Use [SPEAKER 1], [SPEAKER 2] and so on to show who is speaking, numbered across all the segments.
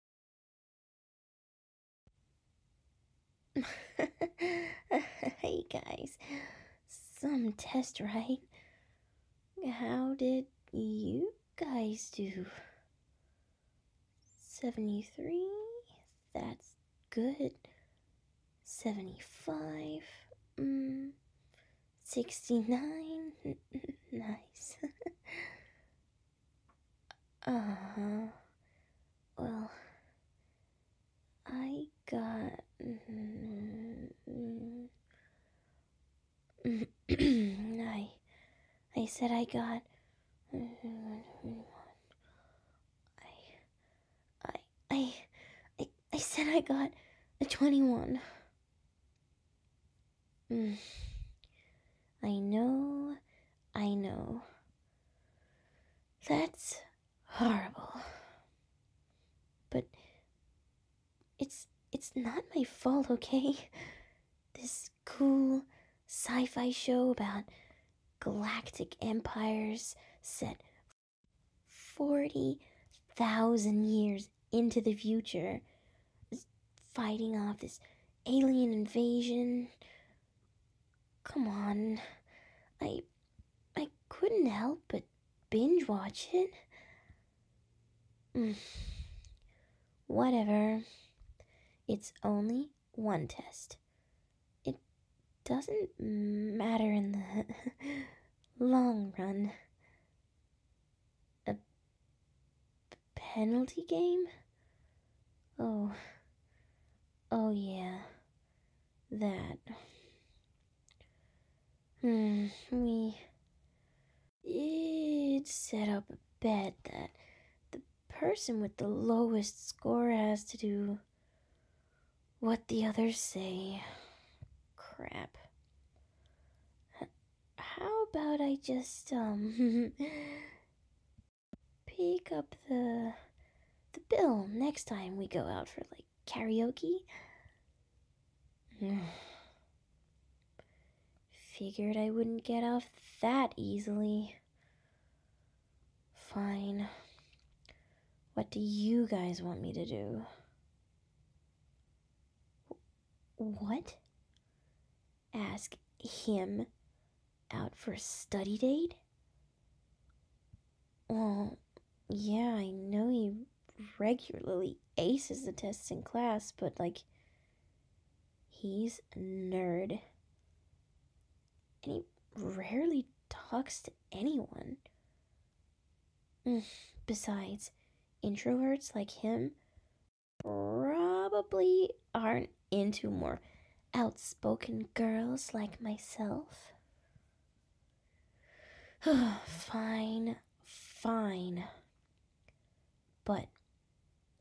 [SPEAKER 1] hey guys, some test, right? How did you guys do? 73, that's good. 75, mm, 69, nice. Uh huh. Well, I got. Mm-hmm, I, I said I got. I, I, I, I, I said I got a 21. Mm. I know, I know. That's horrible. But it's it's not my fault, okay? This cool sci-fi show about galactic empires set 40,000 years into the future fighting off this alien invasion. Come on. I I couldn't help but binge watch it. Mm. Whatever. It's only one test. It doesn't matter in the long run. A penalty game? Oh. Oh, yeah. That. Hmm, we. It set up a bet that the person with the lowest score has to do what the others say. Crap how about I just um pick up the the bill next time we go out for like karaoke? Figured I wouldn't get off that easily. Fine. What do you guys want me to do? What? ask him out for a study date? Well, yeah, I know he regularly aces the tests in class, but like, he's a nerd. And he rarely talks to anyone. Mm, besides, introverts like him probably aren't into more outspoken girls like myself. fine, fine. But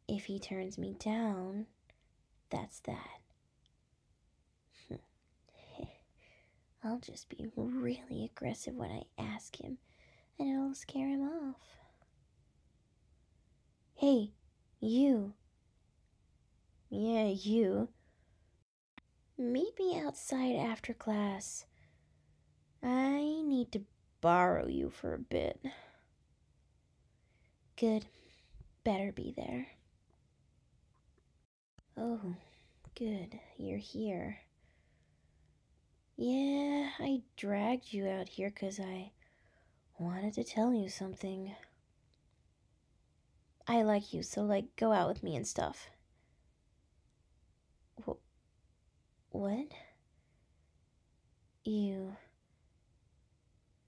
[SPEAKER 1] if he turns me down, that's that. I'll just be really aggressive when I ask him, and it'll scare him off. Hey, you. Yeah, you. Meet me outside after class. I need to borrow you for a bit. Good. Better be there. Oh, good. You're here. Yeah, I dragged you out here because I wanted to tell you something. I like you, so, like, go out with me and stuff. Wh- what? You.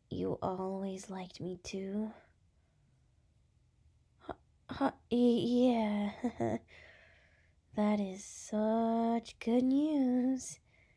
[SPEAKER 1] You always liked me too. Huh, huh, yeah. that is such good news.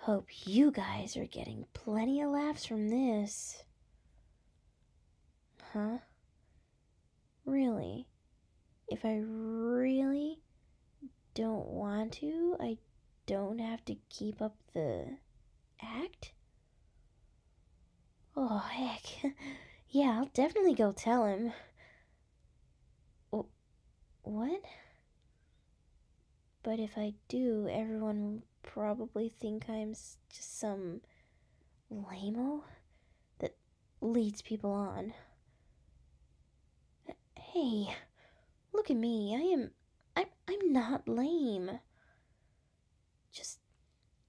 [SPEAKER 1] Hope you guys are getting plenty of laughs from this. Huh? Really? If I really don't want to, I don't have to keep up the act? Oh, heck. yeah, I'll definitely go tell him. What? But if I do, everyone will probably think I'm just some lameo that leads people on. Hey, look at me. I am I'm I'm not lame. Just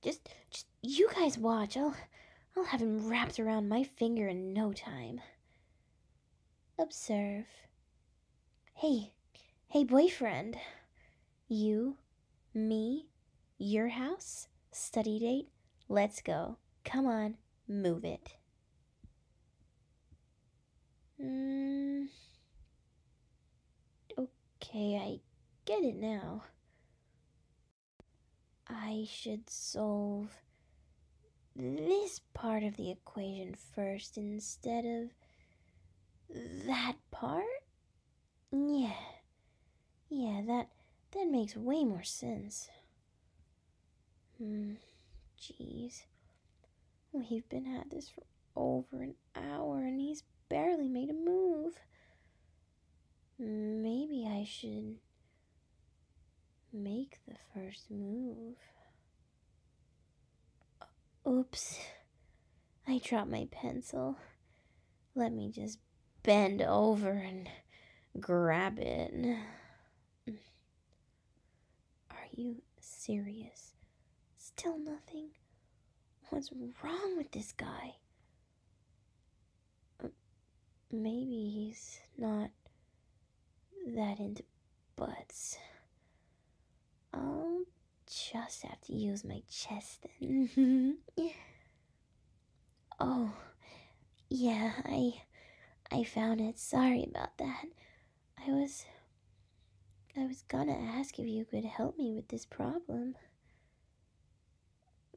[SPEAKER 1] just just you guys watch. I'll I'll have him wrapped around my finger in no time. Observe Hey, hey, boyfriend. You, me, your house, study date, let's go. Come on, move it. Mm. okay, I get it now. I should solve this part of the equation first instead of that part? Yeah. Yeah, that that makes way more sense. Hmm. Jeez. We've been at this for over an hour and he's barely made a move. Maybe I should make the first move. Oops. I dropped my pencil. Let me just bend over and grab it. Are you serious? Still nothing? What's wrong with this guy? Maybe he's not that into butts. I'll just have to use my chest then. Mm-hmm. oh, yeah, I, I found it. Sorry about that. I was, I was gonna ask if you could help me with this problem.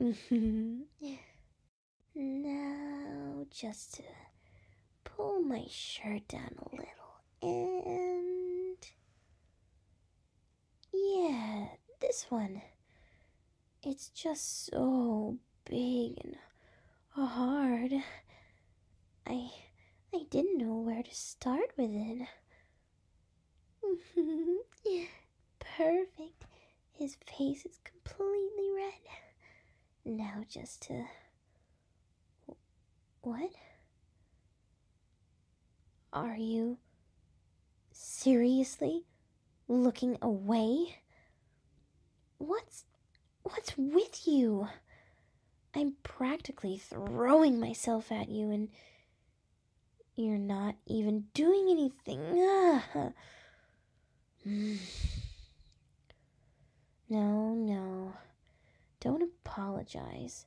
[SPEAKER 1] Mm-hmm. now, just pull my shirt down a little and. Yeah, this one. It's just so big and hard. I I didn't know where to start with it. Perfect. His face is completely red. Now just to what? Are you seriously looking away? What's what's with you? I'm practically throwing myself at you and you're not even doing anything. Hmm. No, no. Don't apologize.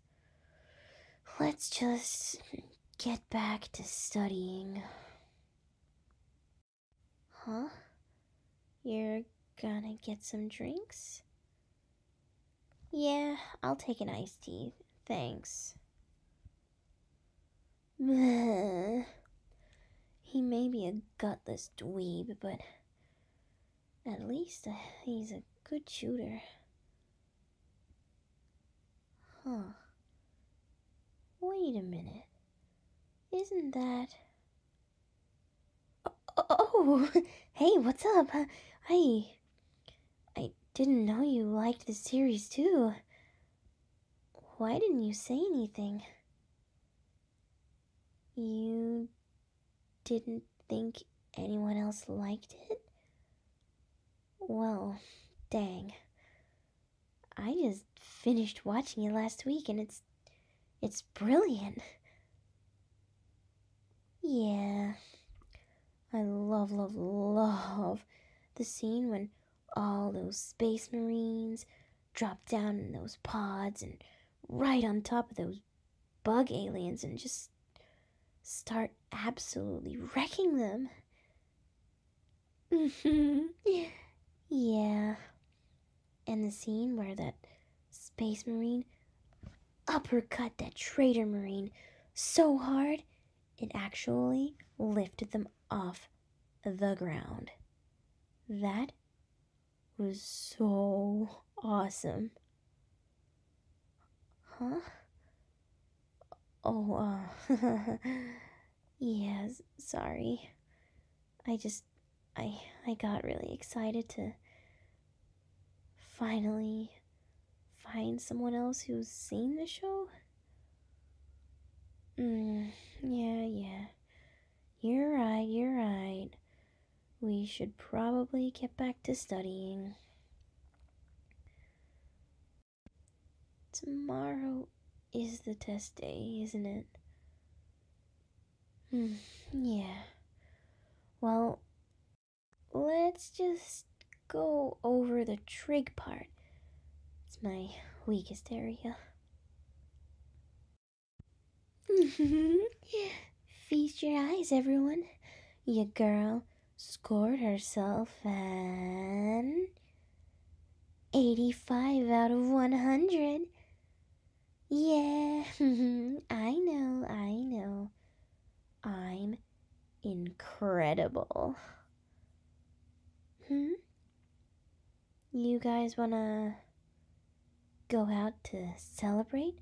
[SPEAKER 1] Let's just get back to studying. Huh? You're gonna get some drinks? Yeah, I'll take an iced tea. Thanks. He may be a gutless dweeb, but at least uh, he's a good shooter. Huh. Wait a minute. Isn't that. Oh! oh. oh hey, what's up? Uh, I. I didn't know you liked the series too. Why didn't you say anything? You didn't think anyone else liked it? Well, dang. I just finished watching it last week and it's it's brilliant. Yeah. I love love love the scene when all those space marines drop down in those pods and right on top of those bug aliens and just start absolutely wrecking them. yeah. And the scene where that space marine uppercut that traitor marine so hard it actually lifted them off the ground. That was so awesome. Huh? Oh, uh, yes, sorry. I just, I, I got really excited to finally find someone else who's seen the show. Mm, yeah, yeah. You're right, you're right we should probably get back to studying. Tomorrow is the test day, isn't it? Hmm, yeah. Well, let's just go over the trig part. It's my weakest area. Feast your eyes, everyone. Your girl scored herself an 85 out of 100. Yeah, I know, I know. I'm incredible. Hmm? You guys wanna go out to celebrate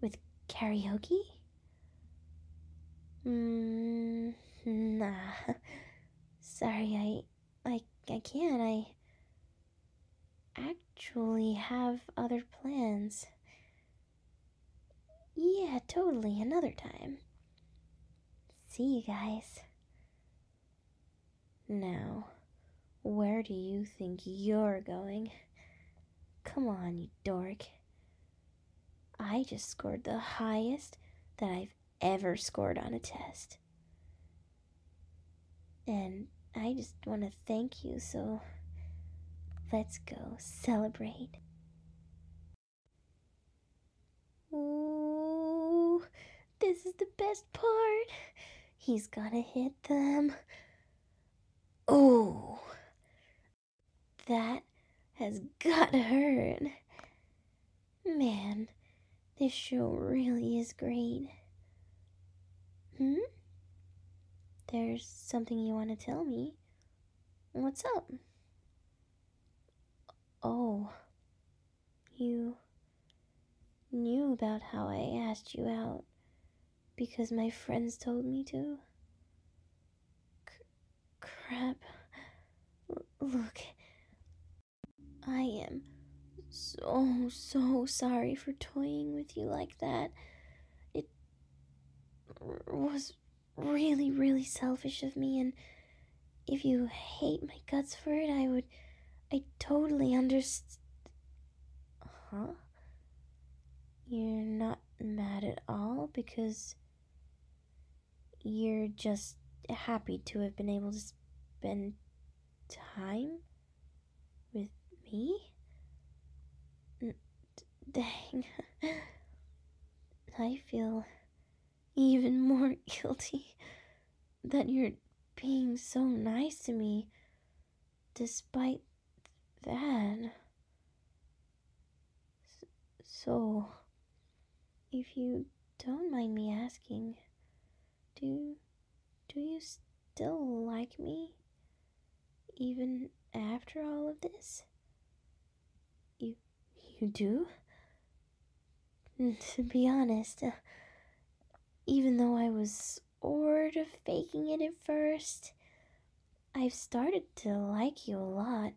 [SPEAKER 1] with karaoke? Mm, nah. Sorry, I, I, I can't. I actually have other plans. Yeah, totally. Another time. See you guys. Now, where do you think you're going? Come on, you dork. I just scored the highest that I've ever scored on a test. And I just want to thank you, so let's go celebrate. This is the best part. He's gonna hit them. Oh, that has gotta hurt. Man, this show really is great. Hmm? There's something you want to tell me. What's up? Oh, you knew about how I asked you out because my friends told me to? crap. look, I am so, so sorry for toying with you like that. It was really, really selfish of me, and if you hate my guts for it, I would. I totally understand just. Huh? You're not mad at all because. You're just happy to have been able to spend time with me? dang. I feel even more guilty that you're being so nice to me despite that. So, if you don't mind me asking, do do you still like me even after all of this? You you do? to be honest, even though I was sort of faking it at first, I've started to like you a lot,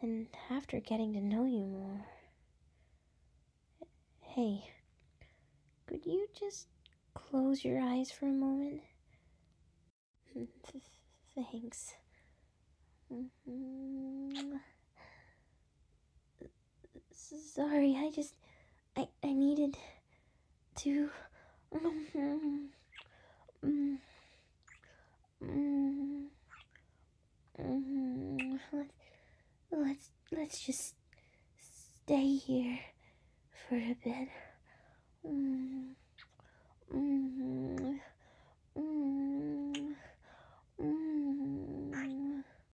[SPEAKER 1] and after getting to know you more. Hey, could you just close your eyes for a moment? Thanks. Mm-hmm sorry, I just, I, I needed to. Mm, mm, mm, let's, let's just stay here for a bit.